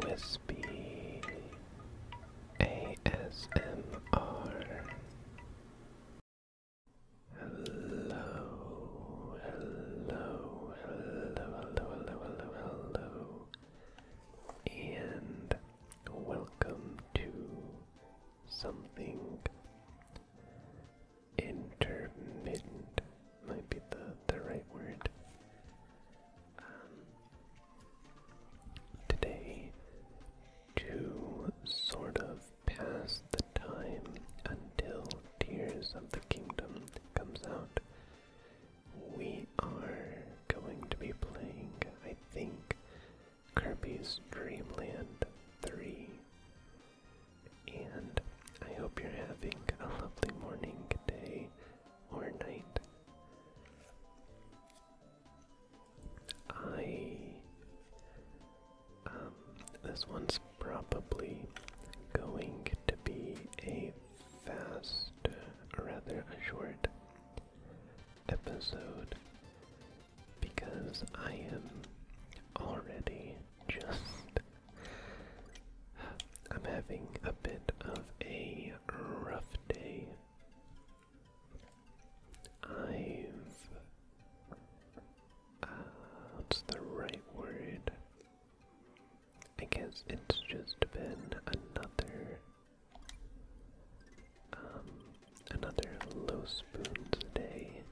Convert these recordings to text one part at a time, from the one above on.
Wispy ASMR. Hello, hello, hello, hello, hello, hello, hello, and welcome to something intermittent might be the, the right word. Um, today, to sort of pass the time until Tears of the Kingdom comes out, we are going to be playing, I think, Kirby's Dreamland 3 and I hope you're having a lovely morning, day, or night. I. Um, this one's probably going to be a fast, uh, rather a short episode because I am already just I'm having a bit of a rough day. I've. Uh, what's the right word? I guess it's just been another. Um, another low spoon today.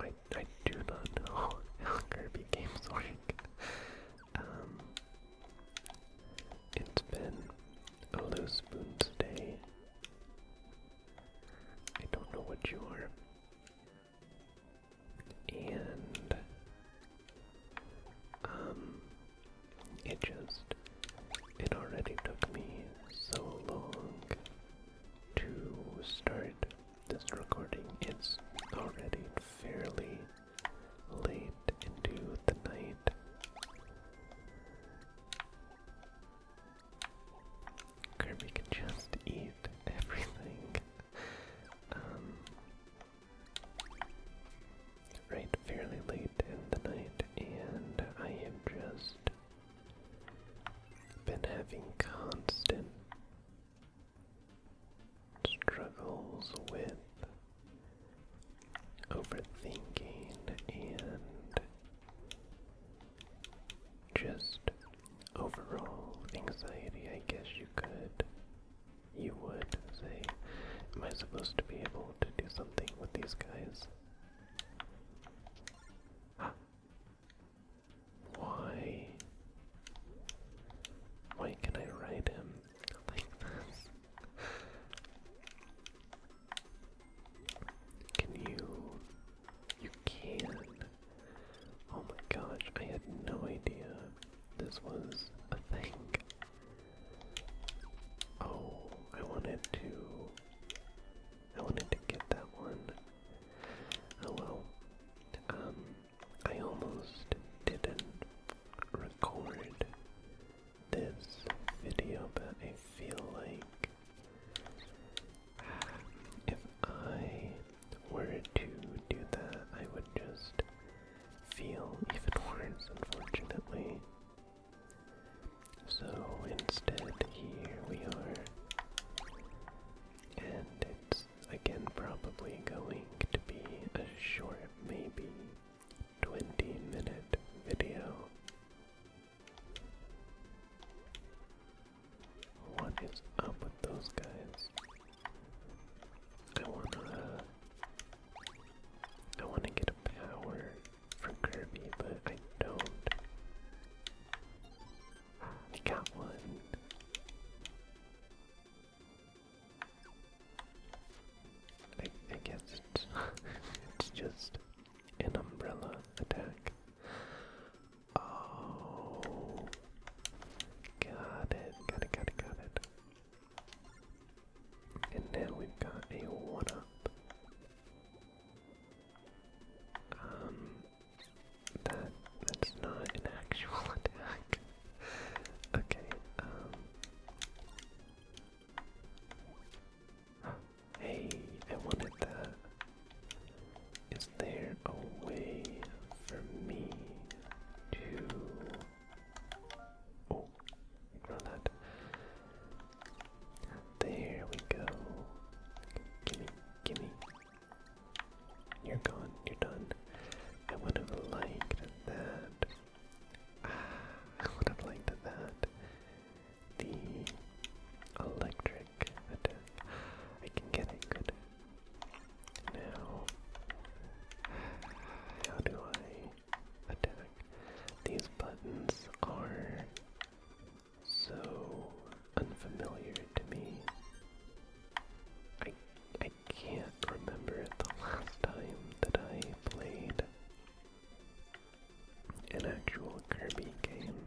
I, I do not know how Kirby games Um, it's been a loose spoon's day. I don't know what you are. And um, it just it already took me so long to start this recording. It's already fairly late into the night. Kirby can just eat everything. Um, right, fairly late in the night, and I am just been having constant struggles with overthinking and just overall anxiety, I guess you could, you would say, am I supposed to be able to do something with these guys? Why? Why can I write him like this? Can you? You can. Oh my gosh, I had no idea this was a thing. Oh, I wanted to. I wanted to get that one. Oh well. Um, I almost didn't record this video, but I feel like if I were to do that, I would just feel even worse, unfortunately. So instead, here we are. And it's again probably going to be a short, maybe 20 minute video. What is up with those guys? I wanna. I wanna get a power from Kirby, but I don't. I got one. I, guess it's, it's just an umbrella attack. Oh, got it, got it, got it, got it. And now we've got a one up. Um that that's not an actual attack. okay, um Hey, I wanted that. Is there a way for me to Oh, ignore that. There we go. Gimme, gimme. You're gone, you're done. I would have liked that. Ah, I would have liked that. The electric attack. I can get it good. Now, how do I attack. These buttons are so unfamiliar to me. I I can't remember the last time that I played an actual Kirby game.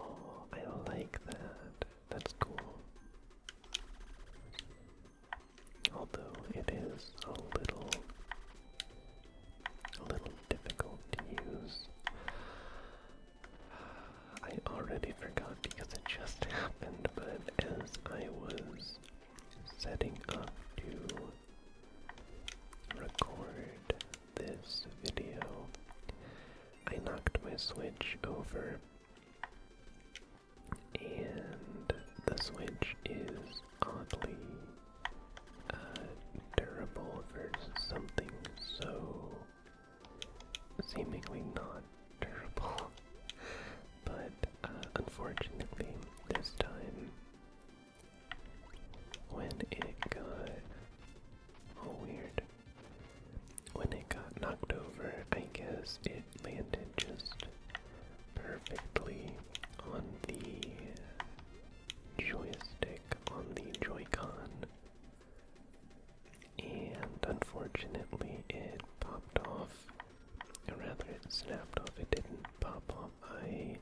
Oh, I like that. That's cool although it is a little a little difficult to use. I already forgot because it just happened, but as I was setting up to record this video, I knocked my switch over and the Switch is oddly uh, for something so seemingly not durable. But uh, unfortunately, this time when it got weird, when it got knocked over, I guess it landed just perfectly on the joystick, on the Joy-Con. And unfortunately, it popped off. Or rather, it snapped off. It didn't pop off. I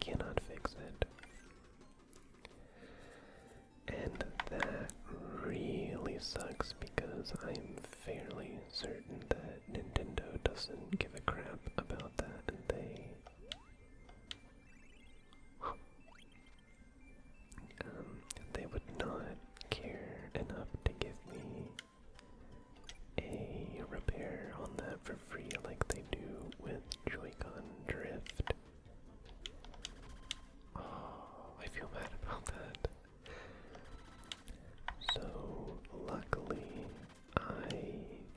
cannot fix it. And that really sucks because I'm fairly certain that Nintendo doesn't give a crap about that, and they. Um, they would not care enough to give me a repair on that for free like they do with Joy-Con Drift. Oh, I feel bad about that. So, luckily, I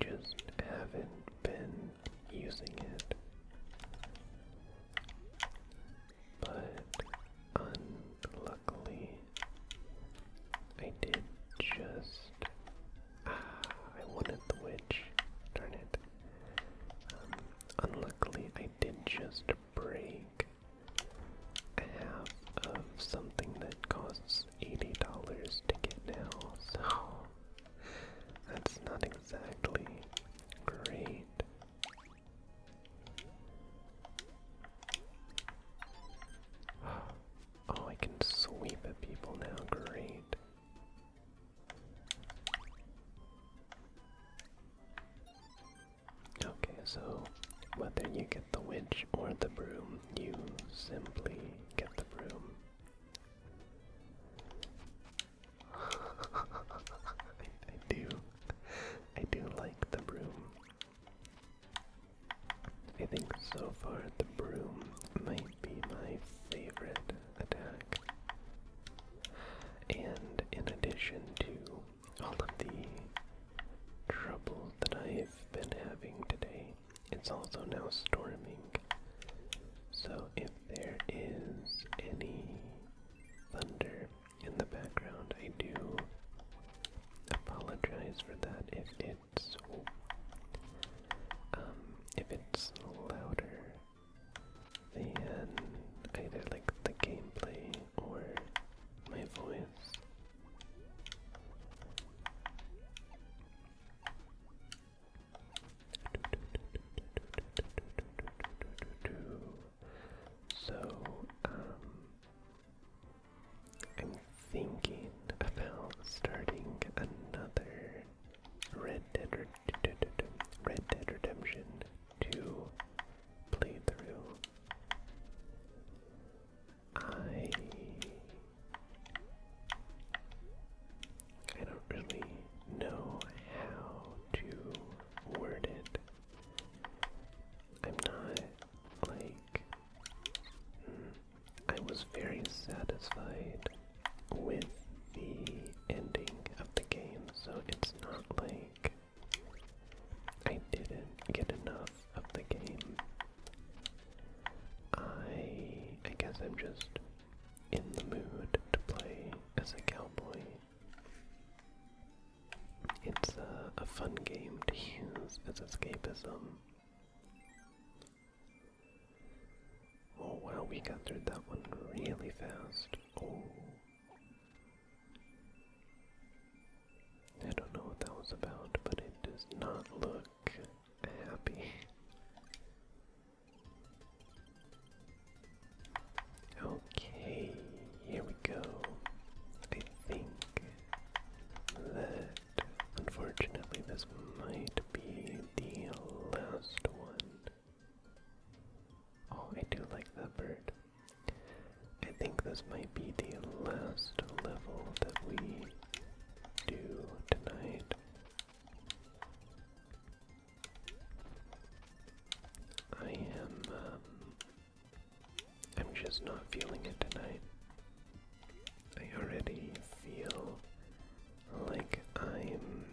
just haven't been using it. But, unluckily, I did just. Ah, I wanted the witch. Darn it. Um, unluckily, I did just to break half of um, something that costs $80 to get now, so that's not exactly great. Oh, I can sweep at people now, great. Okay, so whether you get the witch or the broom, you simply get the broom. I, do. I do like the broom. I think so far the broom might be my favorite and in addition to all of the trouble that I've been having today, it's also now storming. So if there is any thunder in the background, I do apologize for that if it's um if it's louder and either like the gameplay or my voice. So, um, I'm thinking about starting another Red Dead Red Dead Redemption 2 playthrough. I I don't really know how to word it. I'm not like mm, I was very satisfied with the ending of the game, so it's not like I didn't get enough of the game. I I guess I'm just in the mood to play as a cowboy. It's a, a fun game to use as escapism. Oh wow, we got through that one really fast. Oh. I don't know what that was about, but it does not look happy. Okay, here we go. I think that unfortunately this might be the last one. Oh, I do like that bird. I think this might be the last level that we do tonight. I am, um, I'm just not feeling it tonight. I already feel like I'm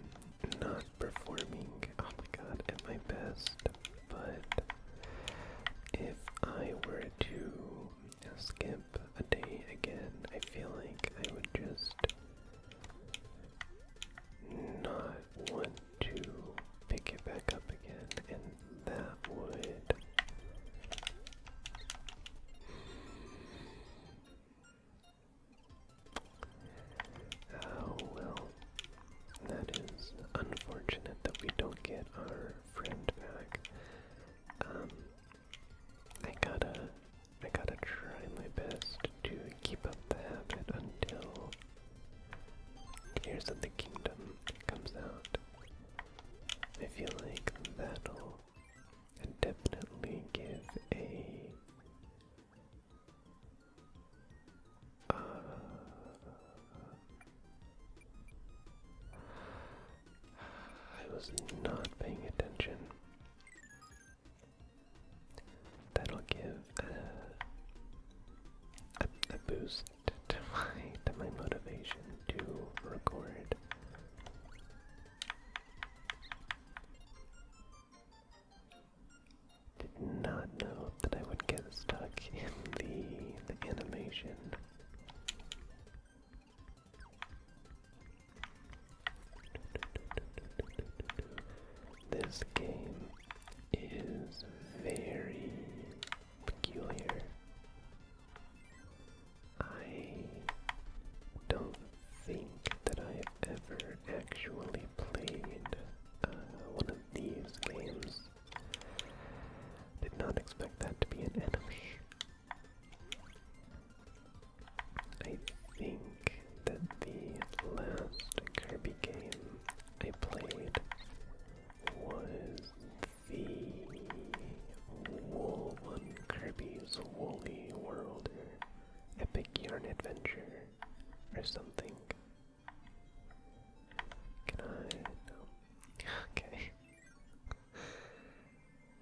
not performing, oh my god, at my best, but if I were to skip a day again, I feel like I would just not want to pick it back up again, and that would. Oh well, that is unfortunate that we don't get our friend back. Um, I gotta, I gotta try my best to keep up the habit until Tears of the Kingdom comes out. I feel like that'll and definitely give a uh, I was not paying attention. That'll give a, a boost to my to my motivation to record did not know that I would get stuck in the, the animation. This game is very peculiar. I don't think that I've ever actually played uh, one of these games. Did not expect that to be an enemy. I think that the last Kirby game I played was the Wolf 1 Kirby's Woolly World Epic Yarn Adventure or something. Can I? Okay.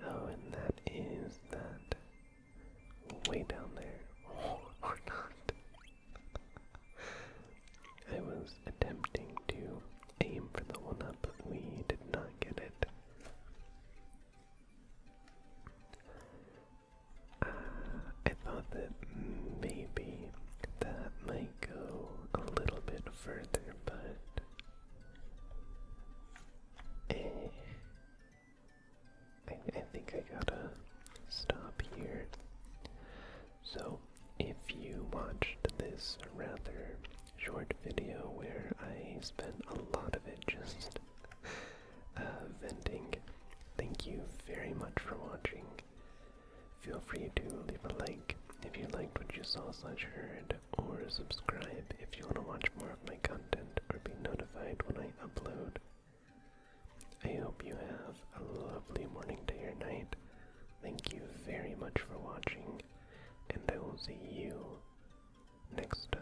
Oh, and that is that way down there. Oh, I was attempting to aim for the one up, but we did not get it. Uh, I thought that maybe that might go a little bit further, but eh, I think I gotta stop here. So, if you watched this rather short video where I spent a lot of it just uh, venting. Thank you very much for watching. Feel free to leave a like if you liked what you saw slash heard, or subscribe if you want to watch more of my content or be notified when I upload. I hope you have a lovely morning, day, or night. Thank you very much for watching, and I will see you next time.